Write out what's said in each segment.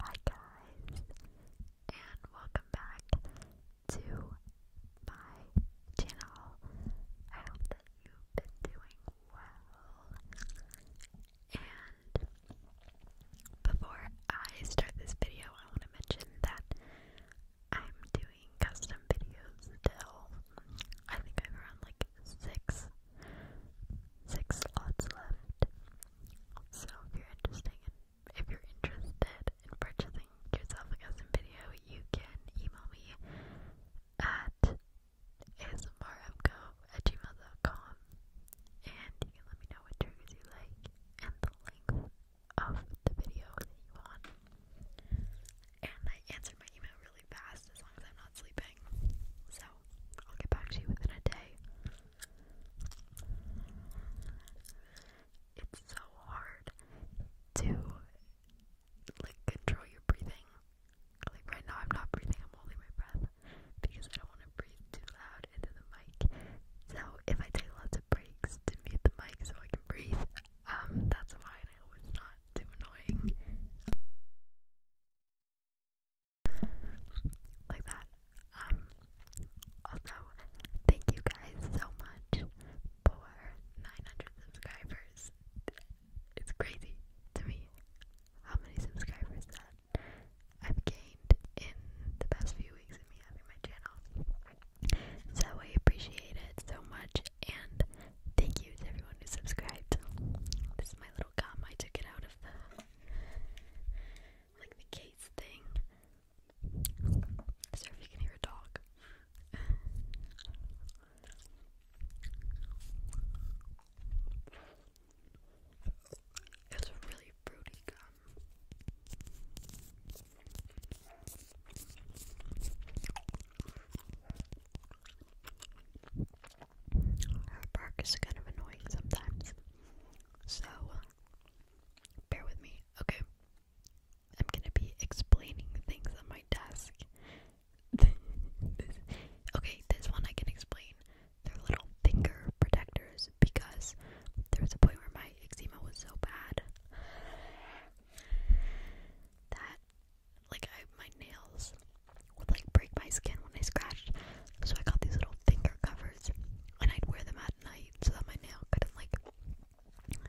Hi guys, and welcome back to my channel. I hope that you've been doing well. And before I start this video, I want to mention that I'm doing custom videos still. I think I'm around like six six slots left. So if you're interested in purchasing yourself a custom video, you can email me at asmrmco and you can let me know what triggers you like and the length of the video that you want. And I answered my email really fast as long as I'm not sleeping. So I'll get back to you within a day. It's so hard to like control your breathing. Like right now, I'm not breathing, I'm holding my breath because I don't want to breathe too loud into the mic. So, if I take lots of breaks to mute the mic so I can breathe, um, that's fine. I hope not too annoying like that. Um, also, thank you guys so much for 900 subscribers. It's crazy to me how many subscribers that I've gained in the past few weeks of me having my channel. So I appreciate it so much, and thank you to everyone who subscribed. This is my little gum. I took it out of the like the case thing. Sorry if you can hear a dog. It's a really fruity gum. Her bark is kind of annoying sometimes. So, uh, bear with me. Okay. I'm gonna be explaining things on my desk. okay, this one I can explain. They're little finger protectors because there was a point where my eczema was so bad that like I my nails would like break my skin when I scratched. So I got these little finger covers and I'd wear them at night so that my nail couldn't like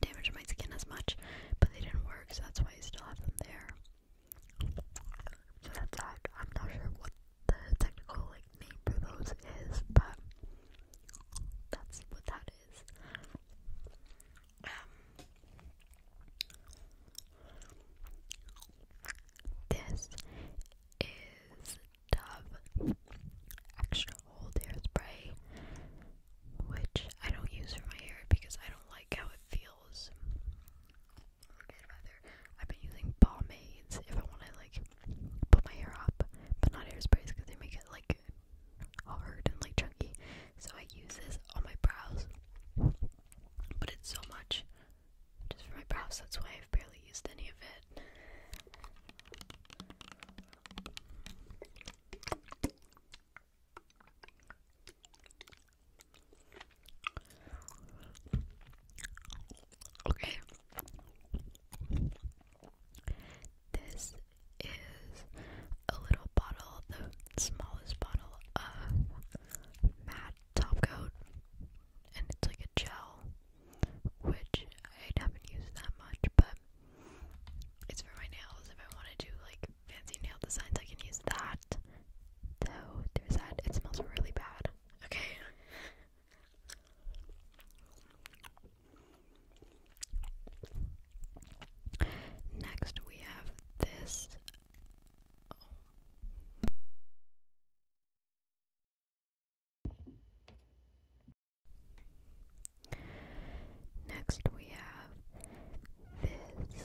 damage my skin as much. But they didn't work, so that's why I still have them there. So that's that. I'm not sure what the technical like name for those is, but that's what that is. Um this is Dove Extra Hold Hairspray, which I don't use for my hair because I don't like how it feels. i rather, I've been using pomades if I want to like put my hair up, but not hairsprays because they make it like hard and like chunky. So I use this on my brows but it's so much just for my brows, that's why I've barely used any of it. Okay. This is a little bottle, the smallest bottle of matte top coat, and it's like a gel, which I haven't used that much, but it's for my nails. If I want to do like fancy nail designs, I can use that. Though there's that. It smells really bad. Okay. Next, we have this Next, we have this.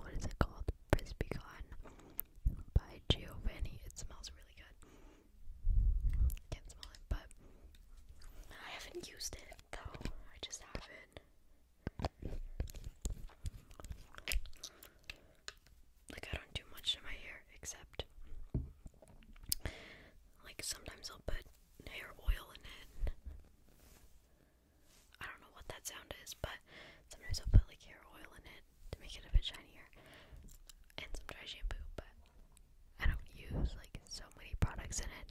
What is it called? Frisbee Con by Giovanni. It smells really good. Can't smell it, but I haven't used it though. I just haven't. Like, I don't do much to my hair except, like, sometimes I'll put hair oil in it. I don't know what that sound is, but sometimes I'll put, like, hair oil in it to make it a bit shinier. And some dry shampoo, but I don't use, like, so many products in it.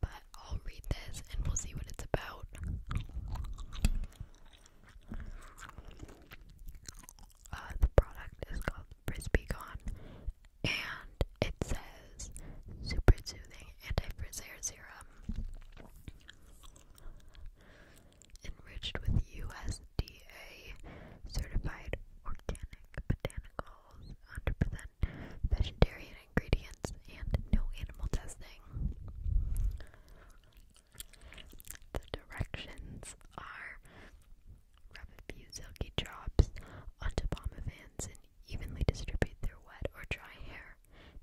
But I'll read this and we'll see what it's about. Uh, the product is called Frisbee Gone, and it says super soothing anti-frizz hair serum enriched with USDA certified organic botanicals, 100% vegetarian ingredients, and no animal testing. The directions are rub a few silky drops onto pomavans and evenly distribute their wet or dry hair.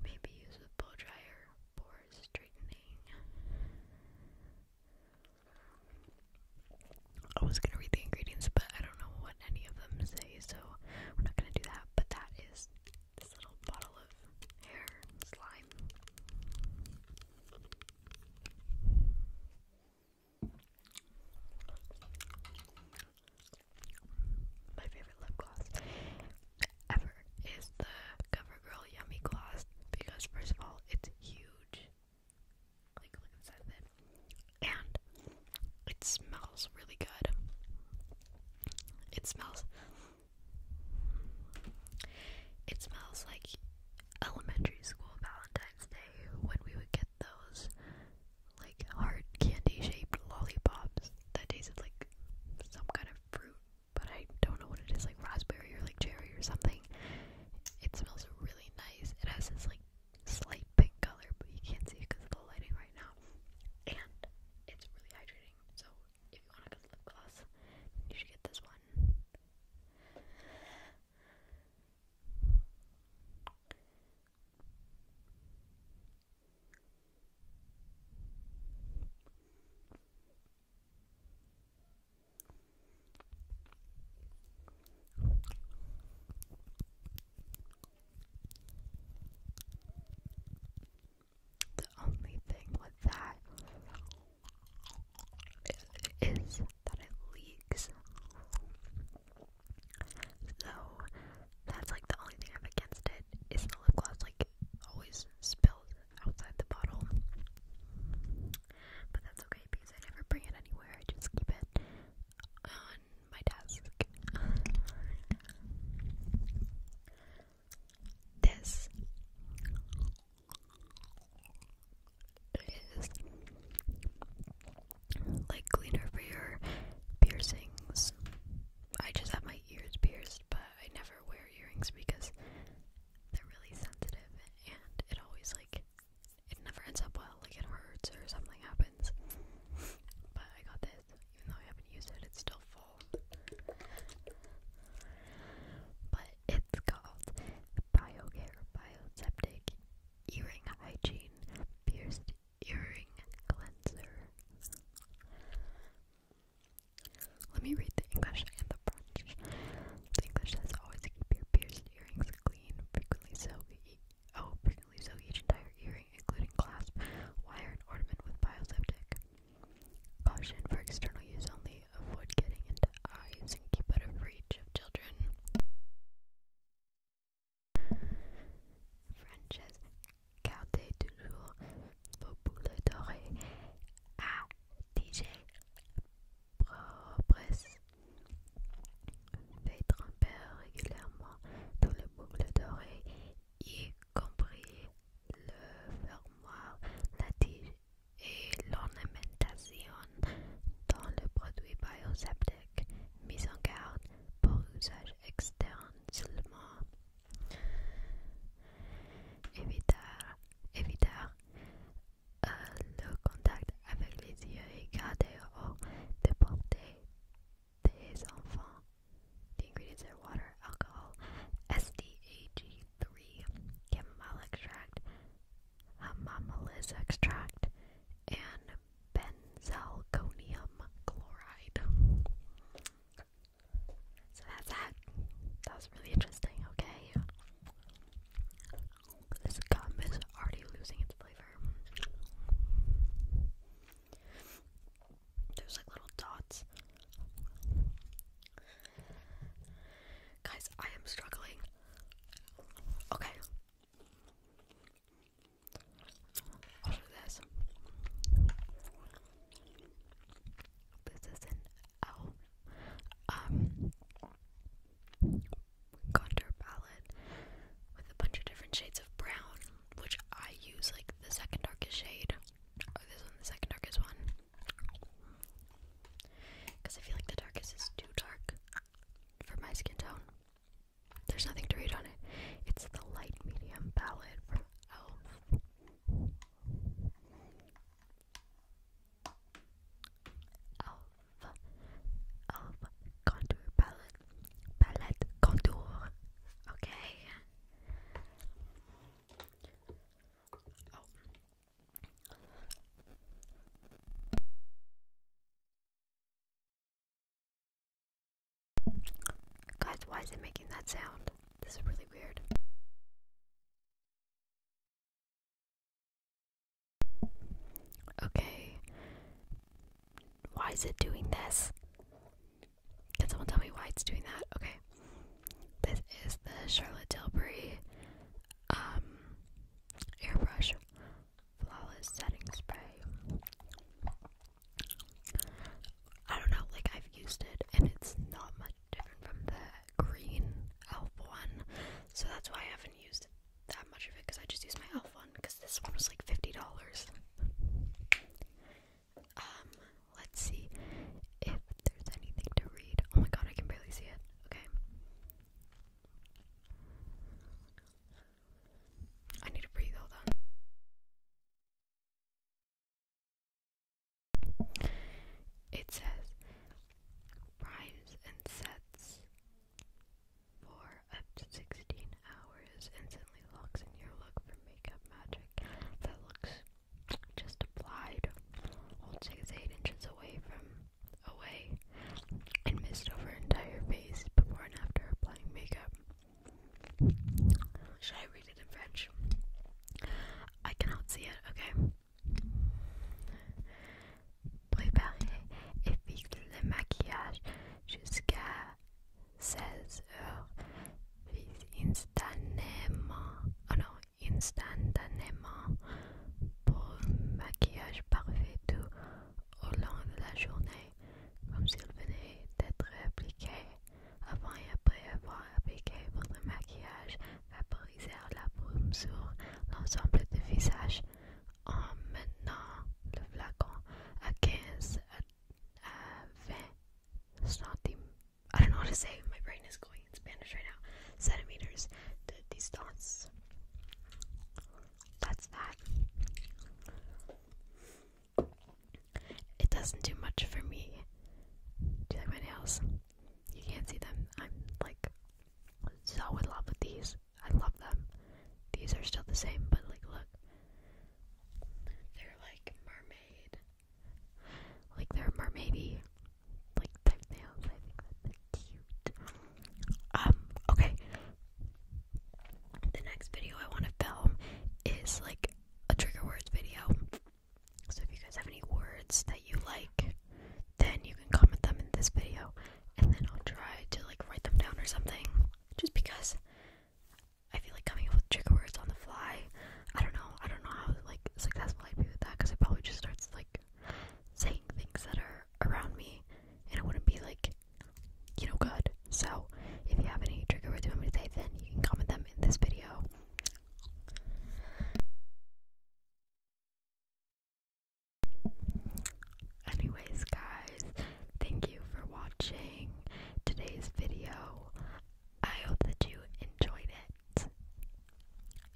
Maybe use a blow dryer for straightening. I was gonna read the ingredients, but I don't know what any of them say, so we're not gonna do that. But that is this little bottle of hair slime. My favorite lip gloss ever is the CoverGirl Yummy Gloss because, first of all, it's huge. Like, look and it smells really good. It smells. It smells like elementary school Valentine's Day when we would get those like hard candy shaped lollipops that tasted like some kind of fruit, but I don't know what it is like raspberry or like cherry or something. It smells really nice. It has this like slight pink color, but you can't see it because of the lighting right now. And it's really hydrating, so if you want a good lip gloss, you should get this one. The only thing with that is that it leaks. So that's like the only thing I'm against it. Is the lip gloss like always spills outside the bottle? But that's okay because I never bring it anywhere. I just keep it on my desk. This is like cleaner for your piercings. I just have my ears pierced, but I never wear earrings because they're really sensitive and it always like it never ends up well, like it hurts or something happens. But I got this, even though I haven't used it, it's still full. But it's called BioCare Bioseptic Earring Hygiene Pierced Earring Cleanser. Let me read the English and the French. English says always keep your pierced earrings clean, frequently soak Oh, frequently so each entire earring, including clasp, wire, and ornament with bioseptic. Caution for external use only. Avoid getting into eyes and keep out of reach of children. French's Carte toujours vos boules dorées à DJ Propres Faites tremper régulièrement dans les boucles d'oreilles, y compris le fermoir, la tige et l'ornementation dans le produit bioseptique mis en garde pour usage externe seulement. Éviter le contact avec les yeux et des enfants. The ingredients are water, alcohol, SDAG3, chamomile extract, hamamelis extract, and benzalkonium chloride. that's that. That was really interesting, okay? This gum is already losing its flavor. There's like little dots. Guys, I am struggling. Okay. this. This is an owl. Um, contour palette with a bunch of different shades of brown, which I use like the second darkest shade, or this one, the second darkest one, because I feel like the darkest is too dark for my skin tone. There's nothing to read on it. It's the light medium palette from e.l.f. Elf, Elf Contour Palette, Palette Contour, okay? Guys, why is it making that sound? This is really weird. Okay. Why is it doing this? Can someone tell me why it's doing that? Okay. This is the Charlotte Tilbury um airbrush flawless setting spray. I don't know, like I've used it and it's not much different from the green elf one, so that's why I haven't used it that much of it because I just used my elf one because this one was like $50. Um, let's see if there's anything to read. Oh my god, I can barely see it. Okay. I need to breathe, hold on. It says, Rhymes and sets for up to 16 hours instantly locks in your look for makeup magic that looks just applied. Hold shakes 8 inches away from away and mist over entire face before and after applying makeup. Should I read it in French? I cannot see it, okay. Préparez et fixe le maquillage jusqu'à 16 heures. Fixez instantanément, instantanément pour un maquillage parfait tout au long de la journée, comme s'il venait d'être appliqué. Avant et après avoir appliqué votre maquillage, vaporisèrent la brume sur l'ensemble du visage en menant le flacon à 15 Centimeters de distance. That's that. It doesn't do much for me. Do you like my nails? You can't see them. I'm like so in love with these. I love them. These are still the same, but like look. They're like mermaid. Like they're mermaidy. Like type nails. I think that's cute. Um, okay. The next video I want to film is like a trigger words video. So if you guys have any words that you like then you can comment them in this video and then I'll try to like write them down or something. Just because I feel like coming up with trigger words on the fly. I don't know. I don't know how like successful I'd be with that because I probably just starts like saying things that are around me and it wouldn't be like you know good. So if you have any trigger words you want me to say then you can comment them in this video. Anyways, guys, thank you for watching today's video. I hope that you enjoyed it.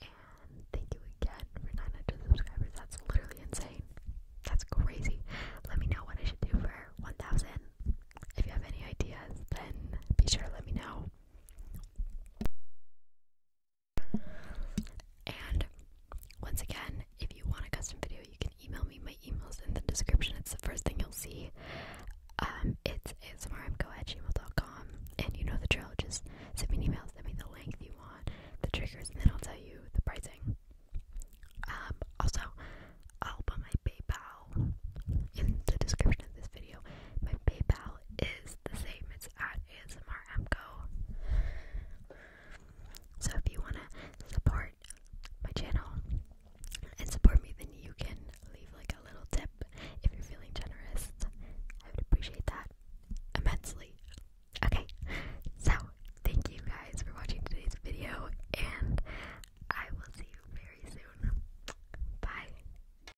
And thank you again for 900 subscribers. That's literally insane. That's crazy. Let me know what I should do for 1000. If you have any ideas, then be sure to let me know. And once again, if you want a custom video, you can email me. My email's in the description. It's the first thing you'll see. Um, it's asmrmco at gmail.com. And you know the drill. Just send me an email. Send me the length you want, the triggers, and then I'll tell you the pricing. Um, also, I'll put my PayPal in the description of this video. My PayPal is the same. It's at ASMRMCO. So if you wanna support my channel and support me, then you can leave like a little tip if you're feeling generous. I would appreciate that immensely. Okay, so thank you guys for watching today's video, and I will see you very soon. Bye.